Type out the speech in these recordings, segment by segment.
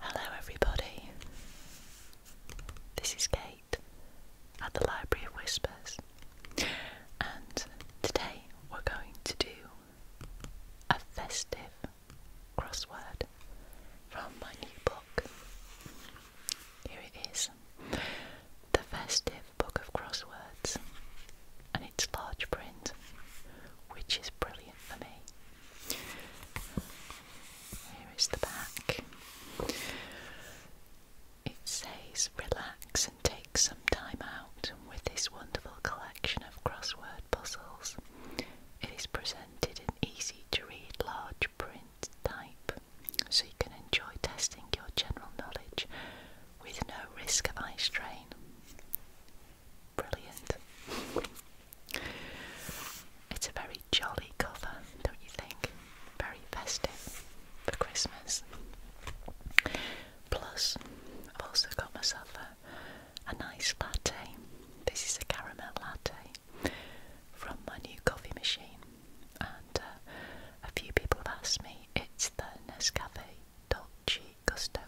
Hello, everybody. This is Kate at the Library of Whispers, and today we're going to do a festive crossword from my new book. Here it is The Festive Book of Crosswords, and it's large print, which is brilliant. Here is the back. It says relax and take some time out with this wonderful collection of crossword puzzles. It is presented in easy to read large print type so you can enjoy testing your general knowledge with no risk of eye strain. Brilliant. It's a very jolly cover, don't you think? Very festive for Christmas. Plus, I've also got myself a, a nice latte. This is a caramel latte from my new coffee machine. And uh, a few people have asked me, it's the Nescafe dot G. Gusto.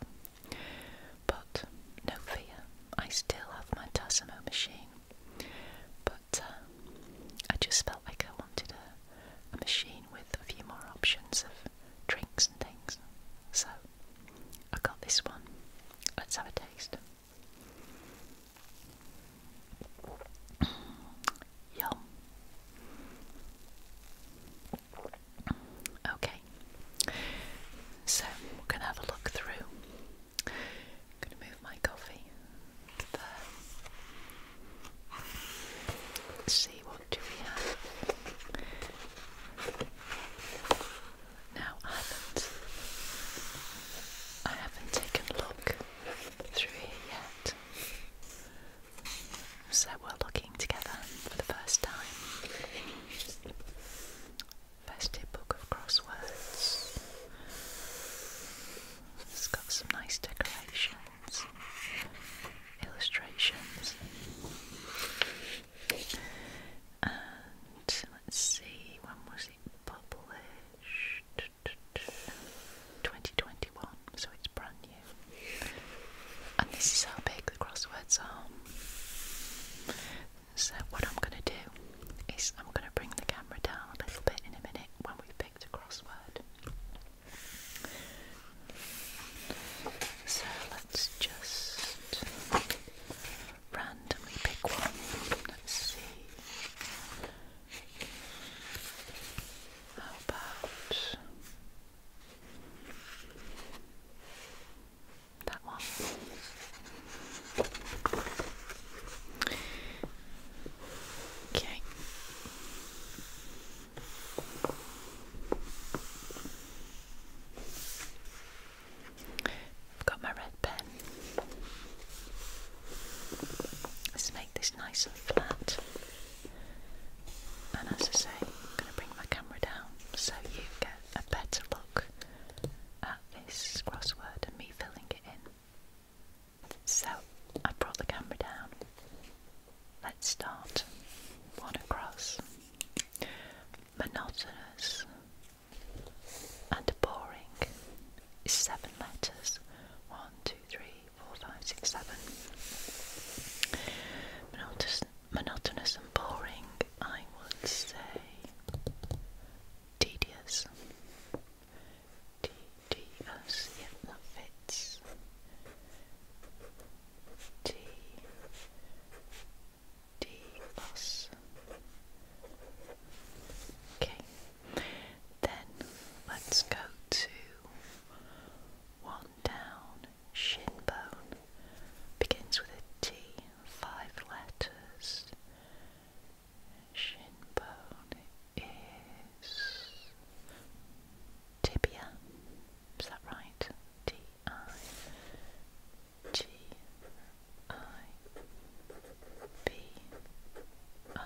But no fear, I still have my Tassimo machine. But uh, I just felt like I wanted a, a machine with a few more options of drinks and things. So I got this one. Let's have a taste. Yum. Okay, so we're going to have a look through. going to move my coffee there. see what do we have. Now I haven't, I haven't taken a look through here yet. So we're looking together for the first time. Festive book of crosswords. It's got some nice decorations, illustrations. And let's see, when was it published? 2021, so it's brand new. And this is how big the crosswords are. So, what I'm going to do is I'm going to bring the camera down a little bit in a minute when we've picked a crossword. So, let's just randomly pick one. Let's see. How about that one. Okay. got my red pen. Let's make this nice and flat. And as I say, I'm going to bring my camera down so you get a better look at this crossword and me filling it in. So I brought the camera down. Let's start. One across. Monotonous and boring seven letters. One, two, three, four, five, six, seven. Monotonous monotonous and boring, I would say tedious. Tedious, yeah, fits. T D Okay. Then let's go to one down shin bone begins with a T, five letters. Shin bone is tibia. Is that right? T I T I B I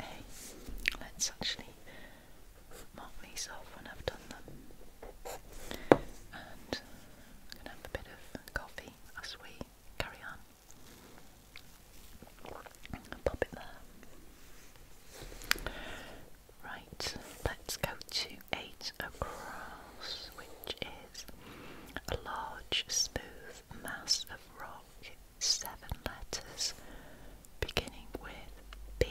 A. Let's actually mock myself when I've done them. And i have a bit of coffee as we carry on. pop it there. Right, let's go to 8 across, which is a large smooth mass of rock, seven letters, beginning with B.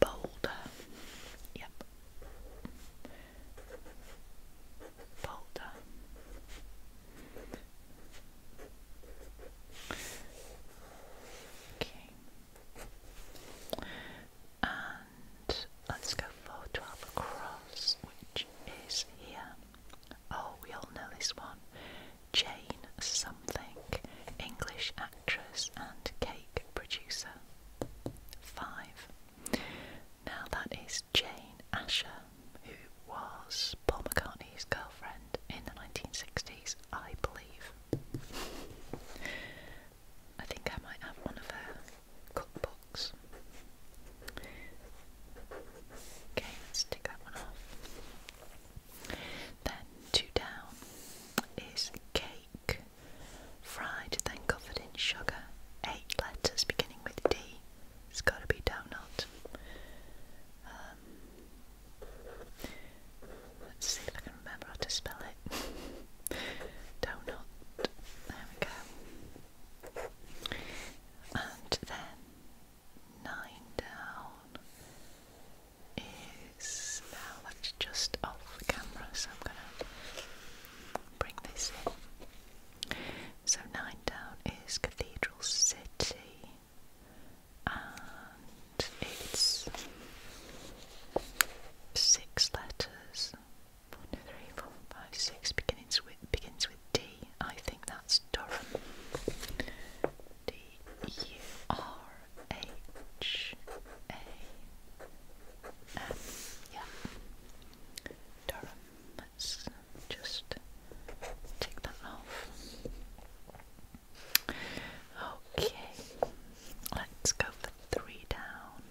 Boulder. Yep. Boulder. Okay. And let's go for 12 across, which is here. Oh, we all know this one. Jane something, English actress and cake producer. Five. Now that is Jane Asher, who was Paul McCartney's girlfriend in the 1960s, I believe. I think I might have one of her cookbooks. Okay, let's take that one off. Then two down is cake, fried then covered in sugar. Eight letters beginning with D. It's got to be donut. Um, let's see if I can remember how to spell it. donut. There we go. And then nine down is now that's just off the camera, so I'm gonna bring this in. So nine down is Cathedral City, and it's six letters. One, two, three, four, five, six. Begins with begins with D. I think that's Durham. D U R H A M. Yeah. Durham. Let's just take that off. Okay. Let's go for three down.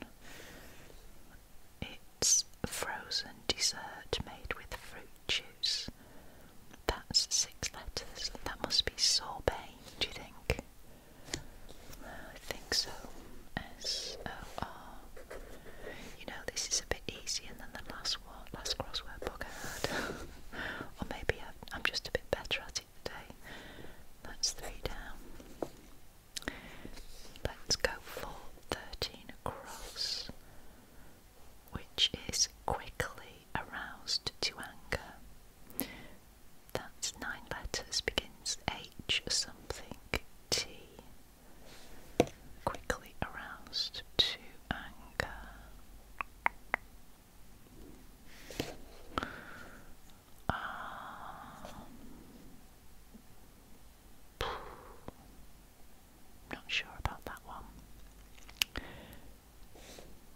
It's frozen dessert made with fruit juice, that's six letters. That must be sorbet, do you think? I think so. S O R. You know, this is a bit easier than the last one, last crossword book I had. or maybe I'm just a bit better at it today. That's three down. Let's go for 13 across which is quickly aroused to anger. That's nine letters, begins H something T. Quickly aroused to anger. Um, not sure about that one.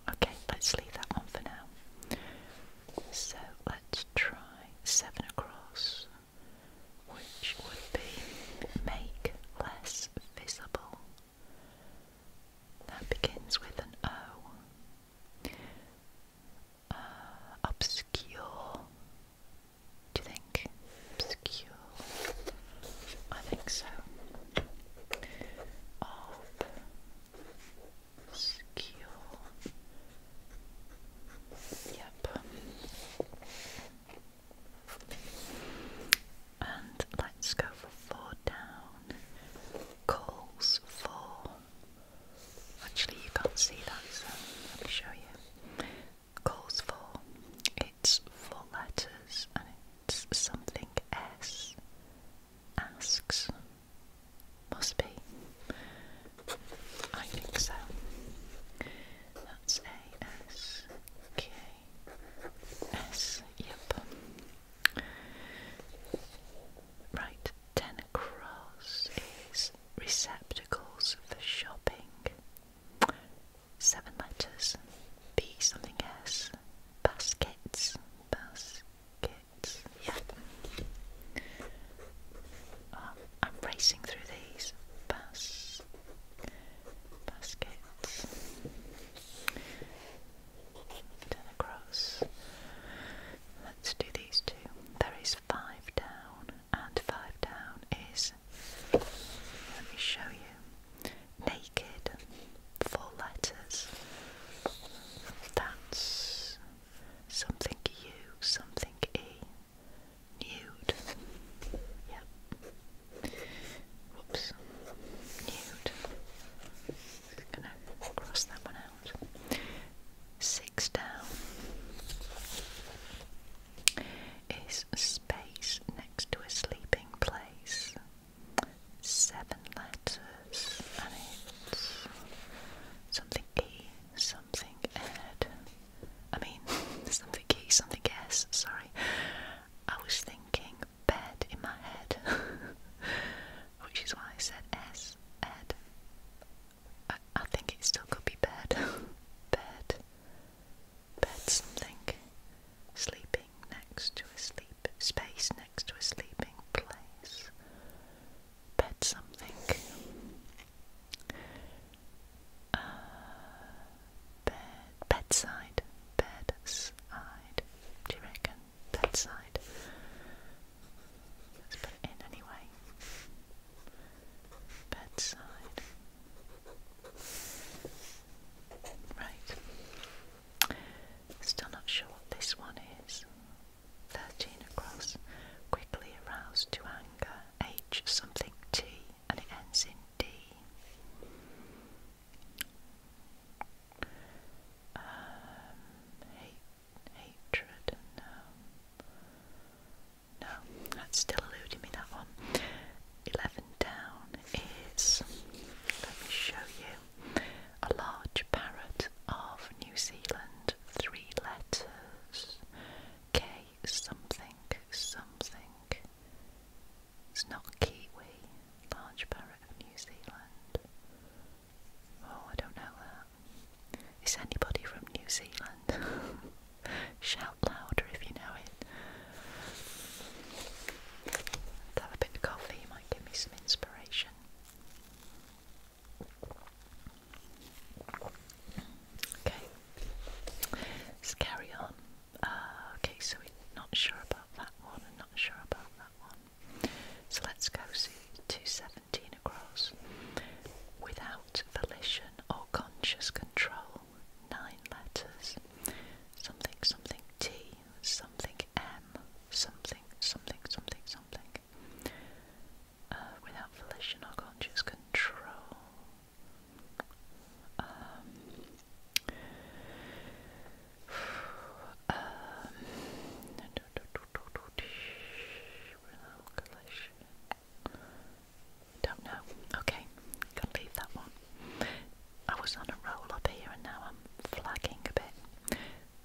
Okay, let's leave that one for now. So let's try seven across, which would be make less visible. That begins with an O. Uh, obscure. Do you think obscure? I think so. Yep. And let's go for four down. Calls for. Actually, you can't see that, so let me show you. Calls for. It's four letters something S asks. Must be. I think so. That's Okay. A S K S. Yep. Right. Ten across is receptacles for shopping seven letters. B something else. Baskets. Baskets. Yeah. Uh, I'm racing through these. Bas baskets. Turn across. Let's do these two. There is five down, and five down is. Let me show you naked, four letters. That's something U, something E, nude. Yep. Whoops. Nude. gonna cross that one out. Six down is space next to a sleeping place seven letters and it's something E, something Ed. I mean, something E, something S, sorry. I was thinking bed in my head, which is why I said S, Ed. I, I think it still could be bed. bed. Bed something. Sleeping next to a sleep space next to a sleeping place. Bed something. Uh, bed bedside. Bedside. Do you reckon? Bedside. Let's put it in anyway. Bedside. Right. Still not sure what this one is. 13 across. Quickly aroused to anger. H something T and it ends in D. Um, hate, hatred, no. Um, no, that's still eluding me, that one. 11 down is, let me show you, a large parrot of New Zealand, three letters, K something something. It's not kiwi, large parrot of New Zealand. Oh, I don't know that. Is anybody from New Zealand? Shout louder if you know it have a bit of coffee, it might give me some inspiration. Okay, let's carry on. Uh, okay, so we're not sure about that one not sure about that one. So let's go see 217 across. Without volition or conscious control, nine letters. Something, something, T, something, M um, something something something something uh, without volition or conscious control. Um, um, don't know. Okay, gonna leave that one. I was on a roll up here and now I'm flagging a bit.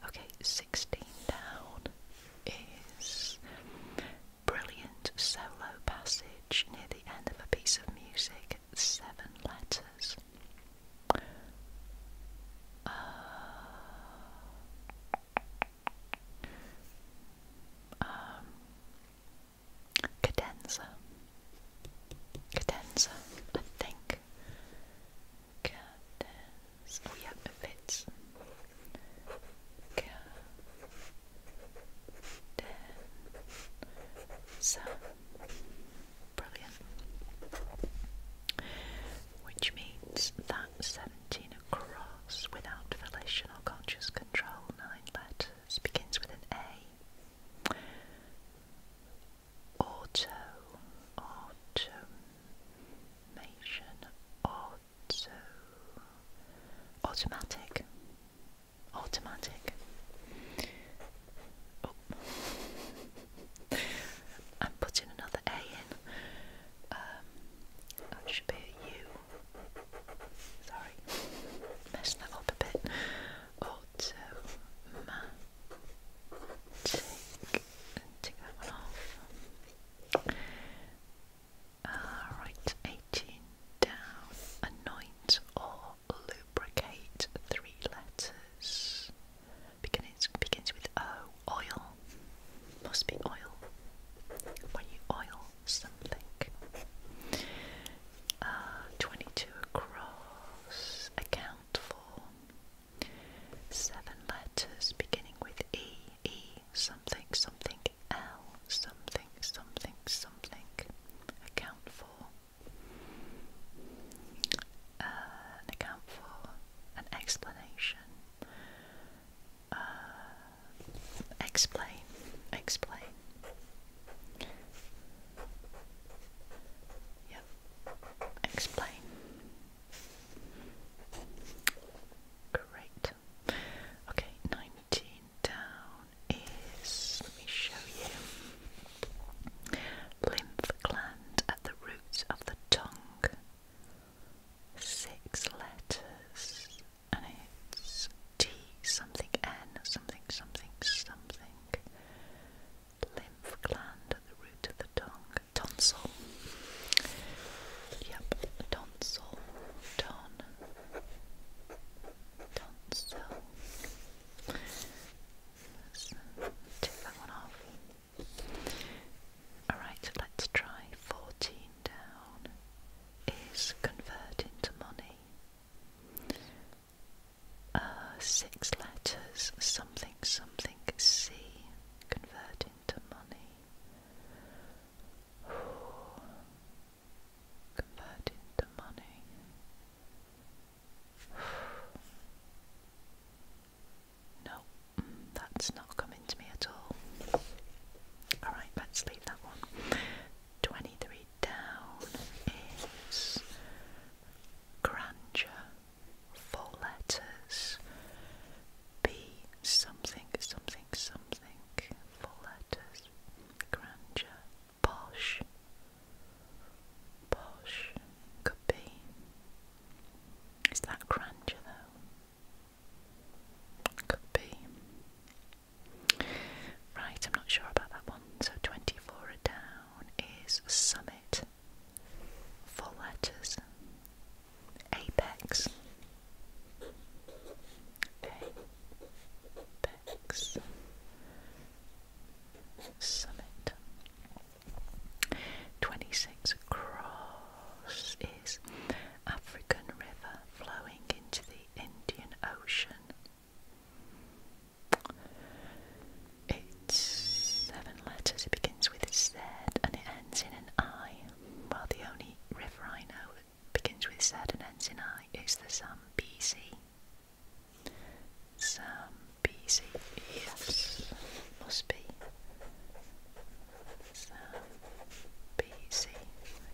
Okay, 16 down is brilliant solo passage near the end of a piece of music, seven letters. Uh, um, cadenza cadenza, I think. Cadenza. Oh yeah, it fits. Cadenza. Brilliant. Which means that 17 across without volition or conscious control, nine letters, begins with an A auto, automation, auto, automatic, automatic. Oh. I'm putting another A in. Um, that should be a U. Sorry, messed that up a bit. Automatic take, take that one off. Alright, uh, 18 down. Anoint or lubricate three letters. Begins, begins with O. Oil. Must be oil. When you oil something. Uh, 22 across. Account account for. Seven letters beginning with E, E, something, something, L, something, something, something, account for. Uh, an account for, an explanation. Uh, explain, explain. Yeah, explain. Great. Okay, 19 down is, let me show you, lymph gland at the roots of the tongue. Six letters, and it's T something N something something something lymph gland at the root of the tongue, tonsil. Yep, tonsil, ton, tonsil. Let's tick that one off. Alright, let's try 14 down is convert into money. Uh, six letters, something, something, C, convert into money. Convert into money. No, mm, that's not coming to me at all. Alright, let's leave that one. 23 down is grandeur, four letters, B something, something, something, four letters, grandeur, posh, posh, could be. Is that grandeur though? Could be. Right, I'm not sure about that one. So 24 down is summit four letters, apex, apex, summit. 26 across is African river flowing into the Indian Ocean. It's seven letters. It begins with a Z and it ends in an I. Well, the only river I know that begins with Z and ends in I is the Zambezi. Zambezi, yes, must be. Zambezi.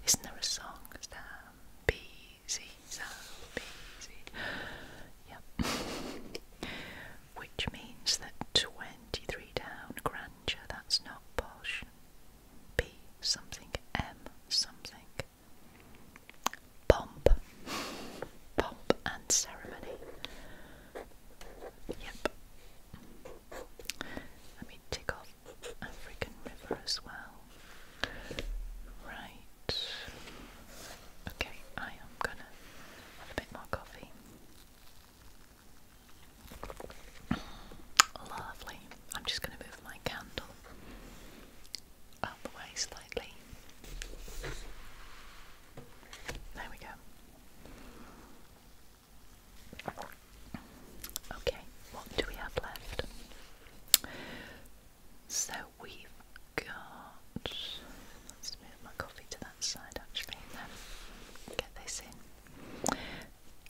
Isn't there a song? Zambezi. Which means that 23 down grandeur, that's not posh. B something, M something. Pomp. Pomp and ceremony. Yep. Let me tick off African River as well. Right. Okay, I am gonna have a bit more coffee. Lovely. I'm just gonna move my candle out the way slightly. There we go. Okay, what do we have left? So we've got. Let's move my coffee to that side actually, then get this in.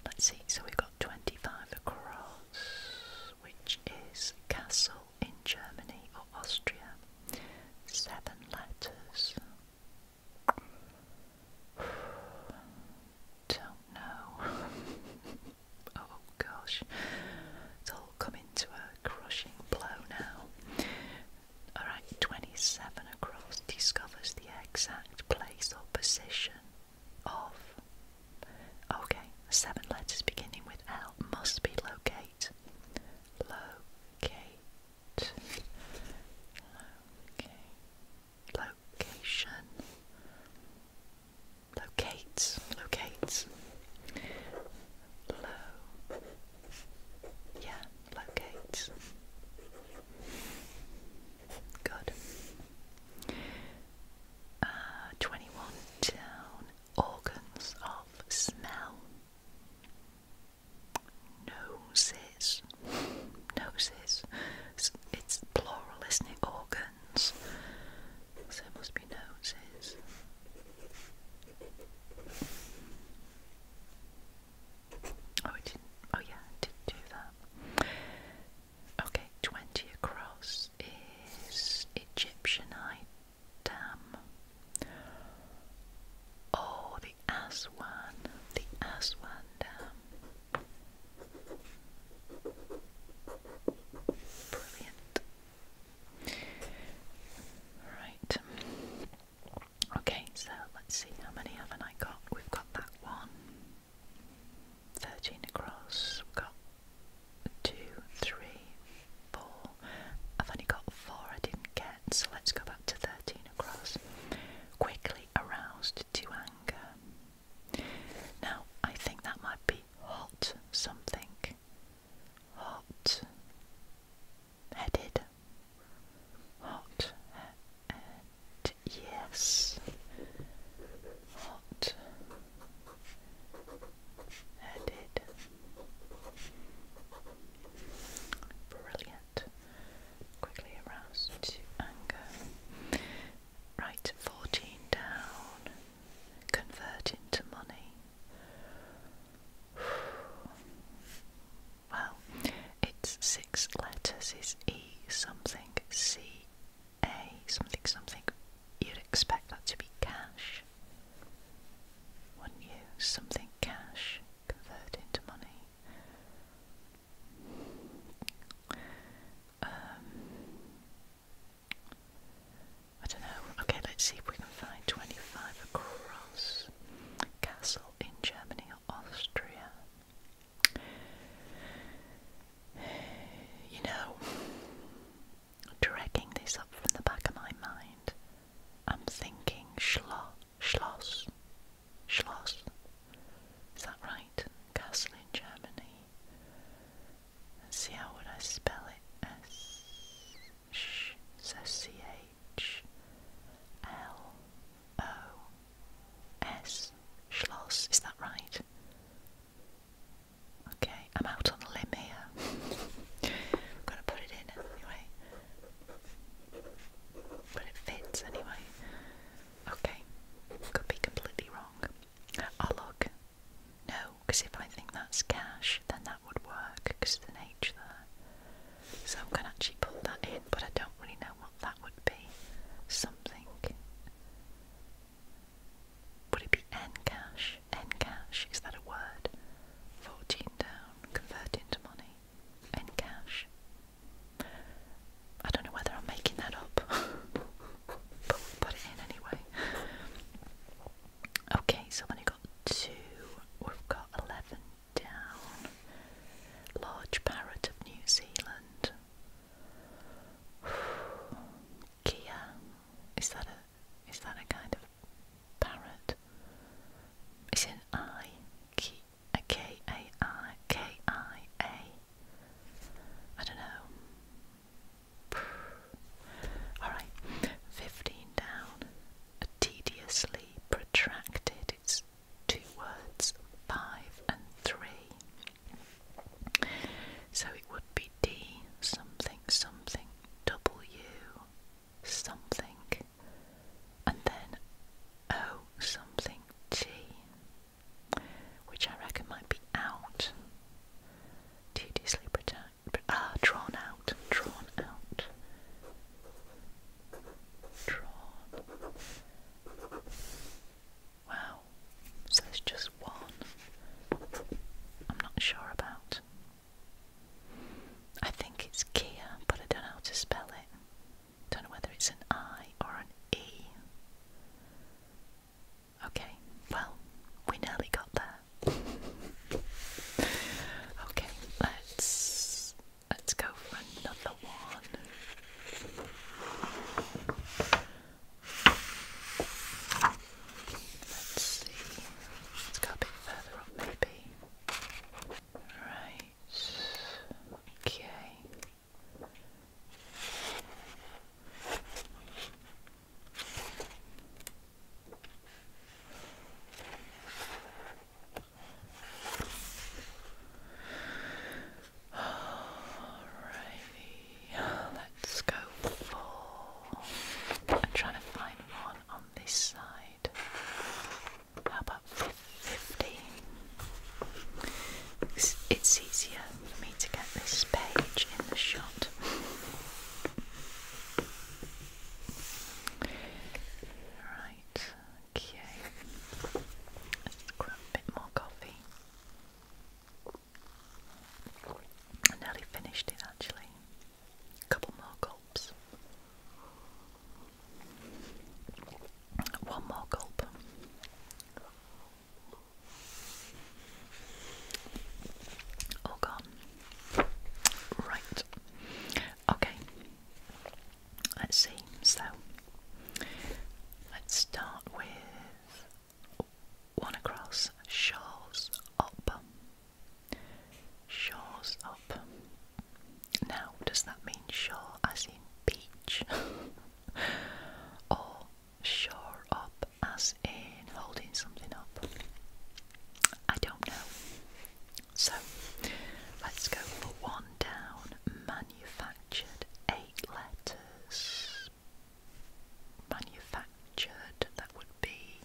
Let's see, so we've got 25 across, which is castle in Germany or Austria. Seven letters. Don't know. oh gosh, it's all coming to a crushing blow now. Alright, 27 across discovers the exact place or position of. Okay, seven letters beginning with L must be locate. Locate. Location. Locate. Locate low. Yeah, locates. Good. Uh, 21 down. Organs of smell. Noses. Noses. It's, it's plural, isn't it? Organs. So it must chirpy noses. Oh, I didn't. Oh, yeah, I did do that. Okay, 20 across is Egyptianite Dam. Oh, the Aswan, the Aswan Dam. Brilliant. Right. Okay, so let's see how many haven't I got. We've got that one. 13 across. We've got two, three, four. I've only got four I didn't get, so let's go back to 13 across. Quickly aroused to anger. Now, I think that might be hot something. Hot headed hot yes hot headed brilliant quickly aroused to anger right 14 down convert into money Well, its six letters It's E something C A something something. You'd expect that to be cash. Wouldn't you? Something cash convert into money. Um, I don't know. Okay, let's see if we can find 25 across. Castle in Germany or Austria. You know, dragging this up from the back of my mind, I'm thinking Schloss. Schloss. Schloss. Is that right? Castle in Germany. let see how would I spell it. S sh says schloss. Is that right? Okay, I'm out on a limb here. I'm gonna put it in anyway. But it fits anyway. Okay, could be completely wrong. Oh, look. No, because if I think that's cash, then that would work because the name so I'm gonna actually put that in, but I don't really know what that would be. Something. Would it be N-cash? N-cash, is that a word? 14 down, convert into money. N-cash. I don't know whether I'm making that up, put it in anyway. Okay, so then you two, we've got 11 down. Large parrot of New Zealand. Kia, is that a is that a kind of parrot? It's an I, K a K A I K I A. I don't know. All right, fifteen down tediously protracted. It's two words, five and three. So it would be D something something W something and then O something T, which I reckon might be out. Tediously protracted. Ah, drawn out, drawn out, draw. Wow, so there's just one I'm not sure about. I think it's Kia, but I don't know how to spell it. Don't know whether it's an I or an E. Okay, well, we nearly got there. Okay, let's let's go for another one. Let's see. Let's go a bit further up, maybe. Right. Okay. Alrighty, let's go for. I'm trying to find one on this side. How about 15? it's easier for me to get this page in the shot. Right, okay. let grab a bit more coffee. nearly finished it actually. A couple more gulps. One more gulp. All gone. Right. Okay, let's see. So, let's start with one across shores up. Shores up. Now, does that mean shore as in beach? or shore up as in holding something up? I don't know. So let's go for one down. Manufactured eight letters. Manufactured, that would be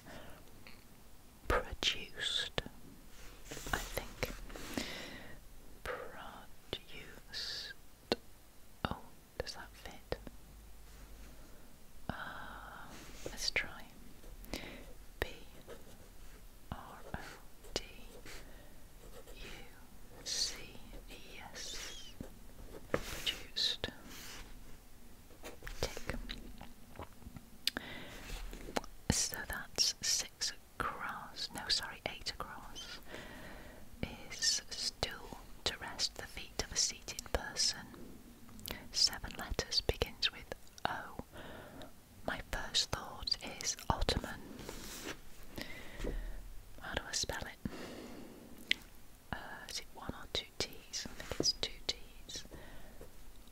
produced, I think. Produced. Oh, does that fit? Uh, let's try B R O D U C E S produced. Tick. So that's six across. No, sorry, eight across. Is stool to rest the feet of a seated person. Seven letters begins with Oh, my first thought is Ottoman. How do I spell it? Uh, it one or two T's? I think it's two T's.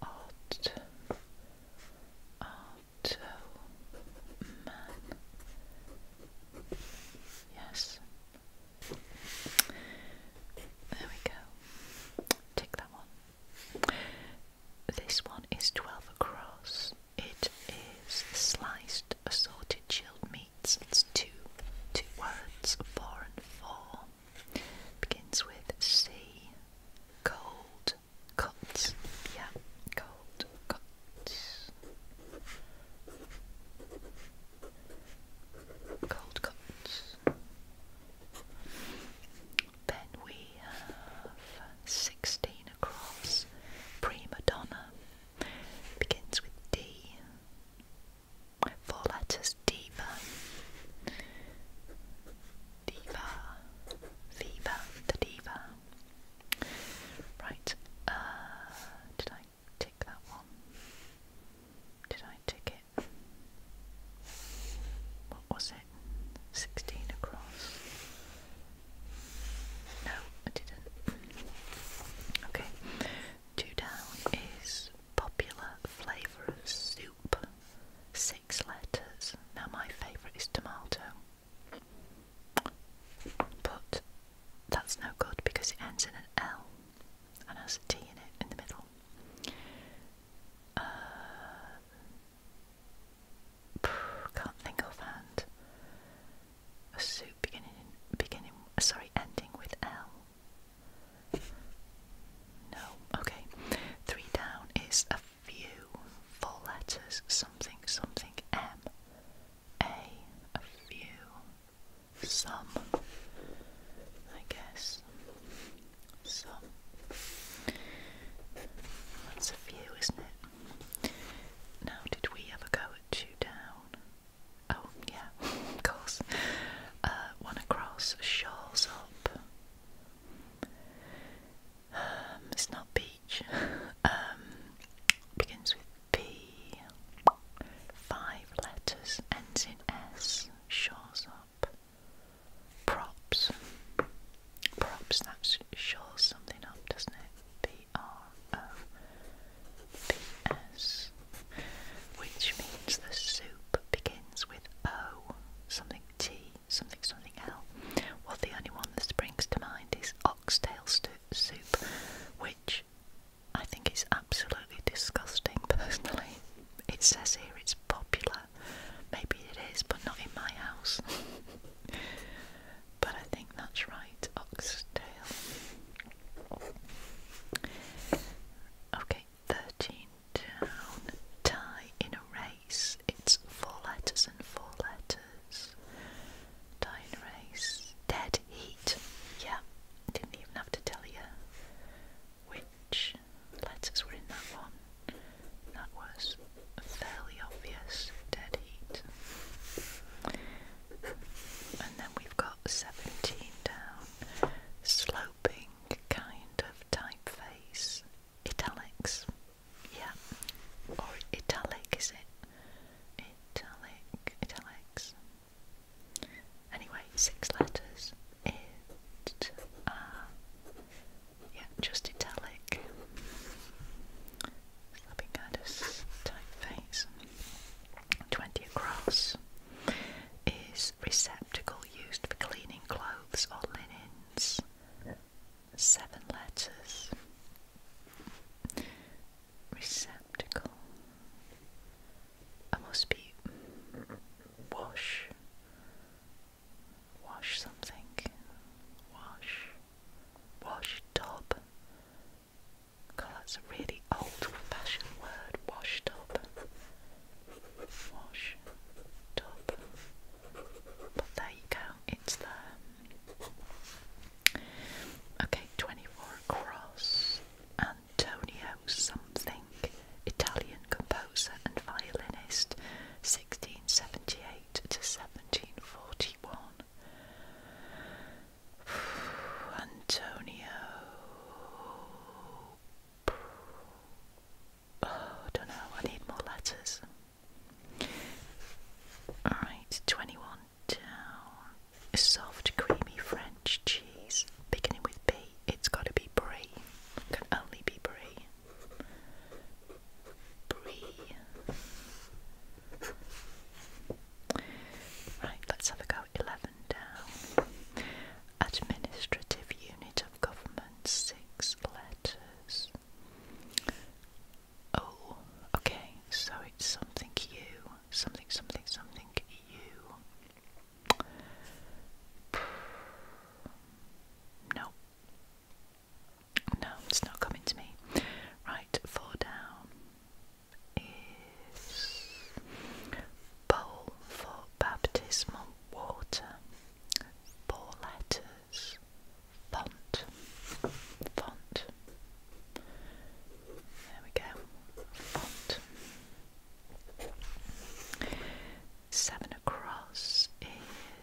Ot, Otto, man. Yes. There we go. Tick that one. This one is 12 across. It is sliced assorted chilled meats. It's two, two words, four and four. Begins with C. Cold cuts. Yeah, cold cuts. Cold cuts. Then we have 16 across. Prima Donna begins with D. Four letters Diva. Diva. Viva. The Diva. Right. Uh, did I tick that one? Did I tick it? What was it? 16 across. No, I didn't. Okay. Two down is popular flavour of soup. Six letters. Now, my favourite is tomato. But that's no good because it ends in an L and has a T in it in the middle. Uh, can't think offhand. A soup beginning beginning sorry, ending with L. No, okay. Three down is a few. Four letters, something, something, M. A, a few, some, I guess. So that's a view, isn't it? Now, did we ever go at two Oh, yeah, of course. one uh, across, shores up. Um, it's not beach. um, begins with P. Five letters, ends in S. Shores up. Props. Props, that shows something up, doesn't it? P-R-O-P-S. Which means the soup begins with O, something T, something something L. Well, the only one that springs to mind is oxtail soup, which I think is absolutely disgusting personally. It says here it's it's popular. Maybe it is, but not in my house. but I think that's right, oxtail. Okay, 13 down. Tie in a race. It's four letters and four letters. Tie in a race. Dead heat. Yeah, didn't even have to tell you which letters were in that one? That was a fairly obvious, dead heat. And then we've got 17 down, sloping kind of typeface, italics, yeah, or italic is it? Italic, italics. Anyway, six letters it uh, yeah, just italic slapping at us typeface. Twenty across is receptacle used for cleaning clothes or linens. Seven letters. Receptacle. I must be wash wash something, wash, wash tub. God, that's a really old-fashioned word, wash tub. Wash tub. But there you go, it's the Okay, 24 across. Antonio something. Italian composer and violinist, 1678 to 1741. Antonio. Oh, I don't know, I need more letters. Alright, 21 down. soft, creamy French cheese, beginning with B. It's got to be brie. Can only be brie. Right, let's have a go. 11 down. Administrative unit of government, six letters. Oh, okay, so it's something you, something, something, something you. Nope, no, it's not coming to me. Right, four down is bowl for baptismal water. Four letters. Font. Font. There we go. Font. Seven across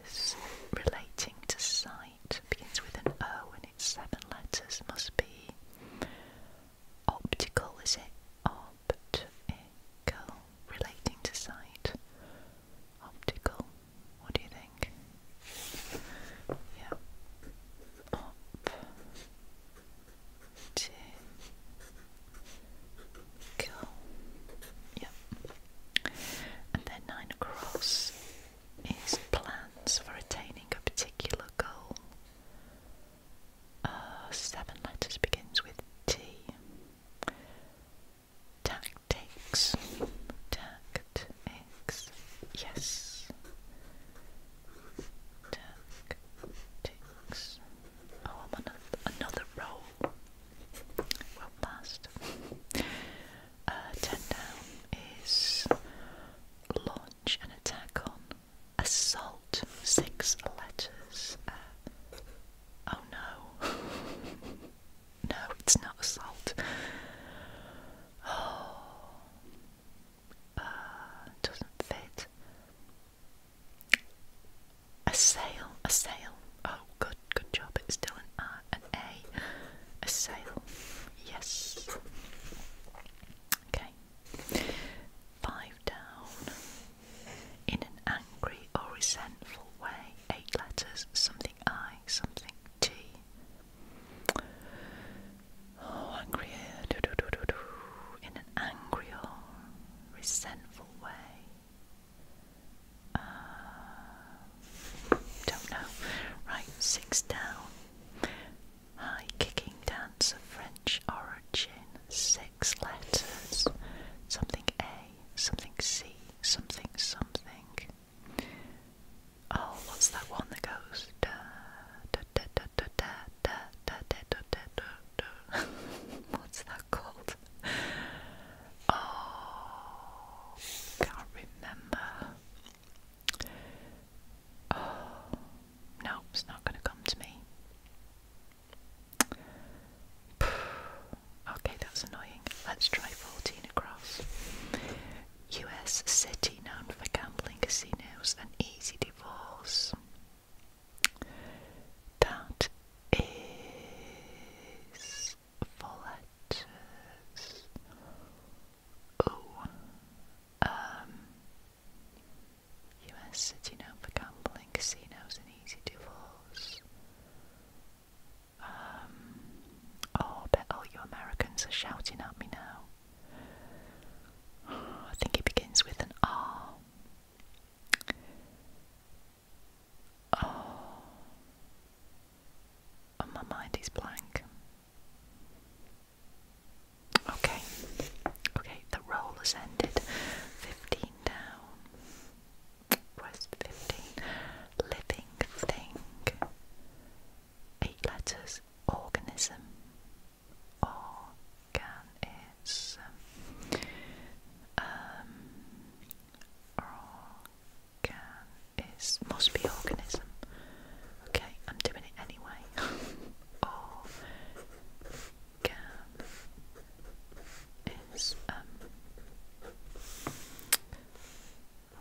is relating to sight, begins with an O and it's seven letters, must be optical, is it? Optical, relating to sight. Optical, what do you think? Yeah. Optical. Cool. Yep. And then nine across is plans for attaining a particular goal. Uh, seven letters begins with T. Tactics. Tactics. Yes. Tactics. Oh, I'm on another roll well past. Uh, ten down is launch an attack on assault. Six letters. Uh, oh no. no, it's not assault. Oh. Uh, doesn't fit. A sale, a sale. Oh, good, good job. It's still an R, an A. A sale. Yes. Okay. Five down. In an angry or resentful way. Eight letters. Something I, something T. Oh, angry. In an angry or resentful way. Uh, don't know. Right, six down. High kicking dance of French origin. Six letters. Something A, something C, something something. Oh, what's that one that goes da da da da da da da da da da da? What's that called? oh, can't remember. Oh, no, it's not going to come to me. Okay, that's annoying. Let's try 14 across. US city known for gambling casinos and easy divorce. That is for Oh, um, US city known for gambling, casinos, and easy divorce. Um, oh, I bet all you Americans are shouting at me now. I think it begins with an R. Oh. oh, my mind is blank. Okay, okay, the roll has ended. 15 down. Where's 15? Living thing. Eight letters. Organism. Organism. Um, Organ is must be organism. Okay, I'm doing it anyway. Organ is um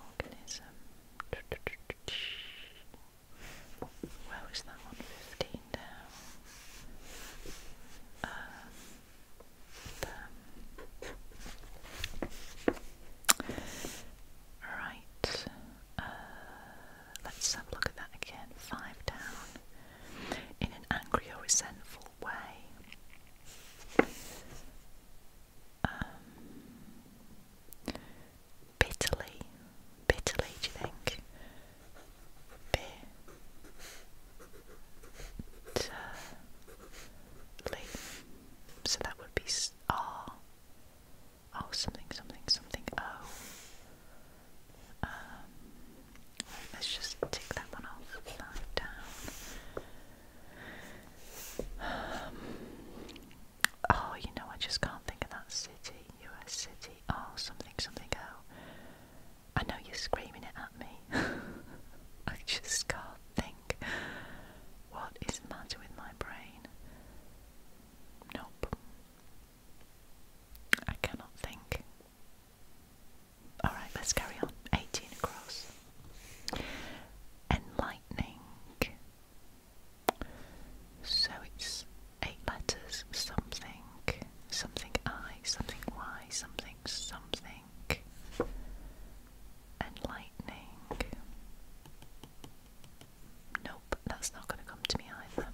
organism. Where that one? Fifteen Right, uh, let's look at that again. Five down. In an angry or resentful way. Um, bitterly. Bitterly, do you think? Bit. So that would be R. Ah, oh, something, something, something, oh. Um, let's just tick that one off, down. Um, oh, you know, I just can't think of that city, US city, oh, something, something, oh. I know you're screaming it at me. I just can't think. What is the matter with my brain? Nope. I cannot think. Alright, let's carry on. 18 across. Enlightening. So it's eight letters something, something I, something Y, something, something and lightning. Nope, that's not going to come to me either.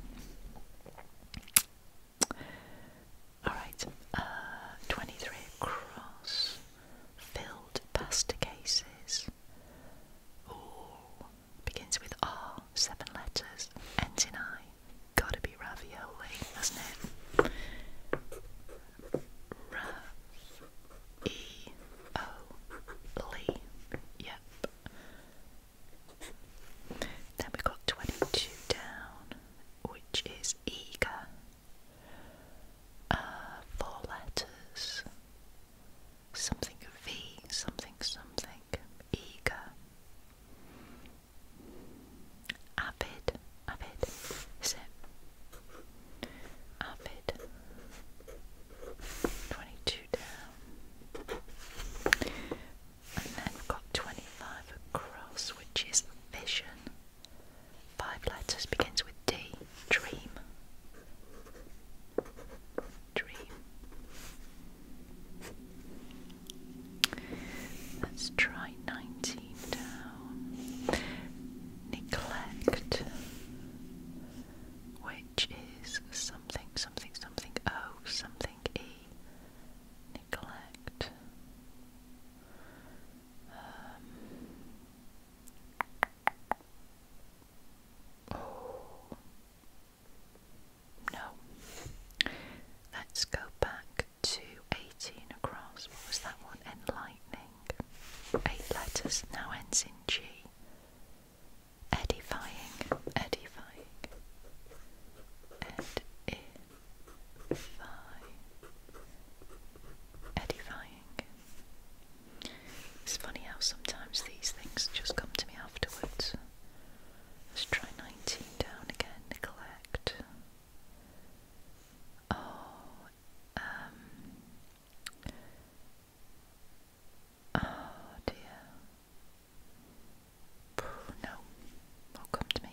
Alright, uh, 23 across, filled pasta cases. Ooh, begins with R, seven letters, ends in I. Gotta be ravioli, doesn't it? R E O L. Yep. Then we got twenty-two down, which is eager. Uh, four letters. Something V, something, something. Eager. Avid. Avid. Is it? Avid. 22 down. And then we've got 25 across, which is vision. Five letters begins with D. Dream. Dream. Let's try 19 down. Neglect, which is something, something, something, oh, something, e. Neglect. Um, oh. No. Let's go back 218 across. What was that one? Enlightening. Eight letters now ends in G. Edifying. Edifying. Edifying. It's funny how sometimes these things just come to me afterwards. Let's try 19 down again. Neglect. Oh, um, oh dear, no, will come to me.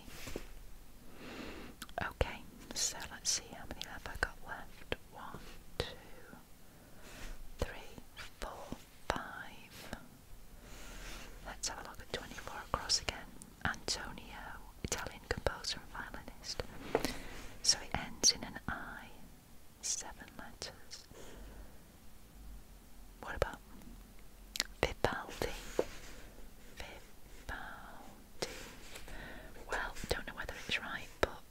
Okay, so let's see how many have I got left. One, two, three, four, five. Let's have a look at 24 across again. Antonio, Italian composer and violinist. So it ends in an I, seven letters. What about Vivaldi? Vivaldi. Well, don't know whether it's right, but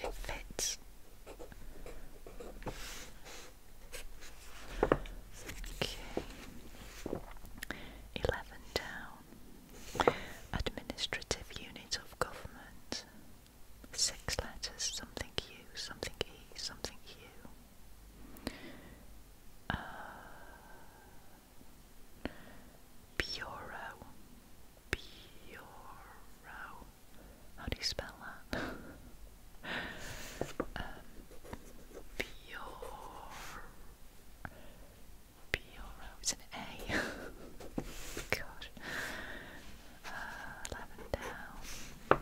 it fits. Okay. Eleven down. Administrative unit of government. Six letters, something U, something E, something U. Uh, bureau. Bureau. How do you spell that? Um, bureau. B or an A. Gosh. Uh, eleven down.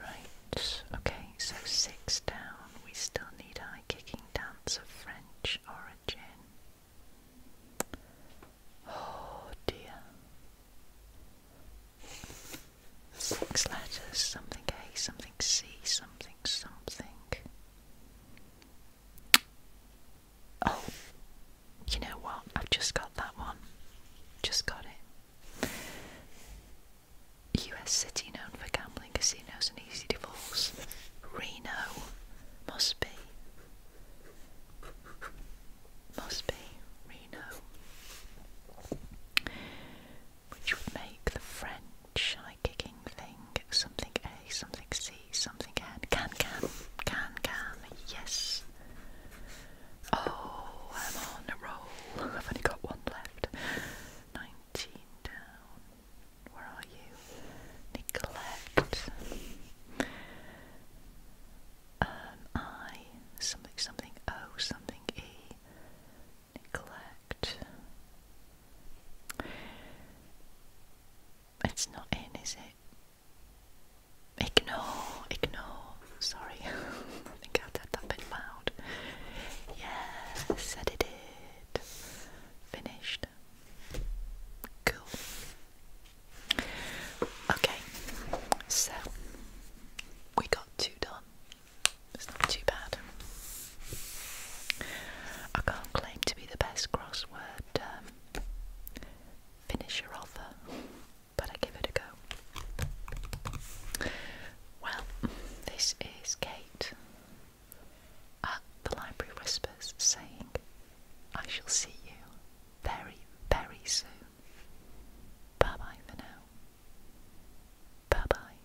Right, okay, so six down. We still need high kicking dance of French origin. Oh dear. Six letters, something A, something C, something, something. Oh, you know what? I've just got that one. Just got it. US city known for gambling, casinos, and easy divorce. Reno. Must be. Must be Reno which would make the French high kicking thing something A, something C, something N. Can, can, can, can, yes. Oh, I'm on a roll. I've only got one left. 19 down. Where are you? Neglect. Um, I, something, something, O, something, a neglect. It's not in, is it? Ignore, ignore. Sorry, I think I said that bit loud. Yes, I Finished. Cool. Okay, so we got two done. It's not too bad. I can't claim to be the best crossword um, finisher author, but I give it a go. Well, this is Kate the Library Whispers saying, I shall see you very, very soon. Bye bye for now. Bye bye.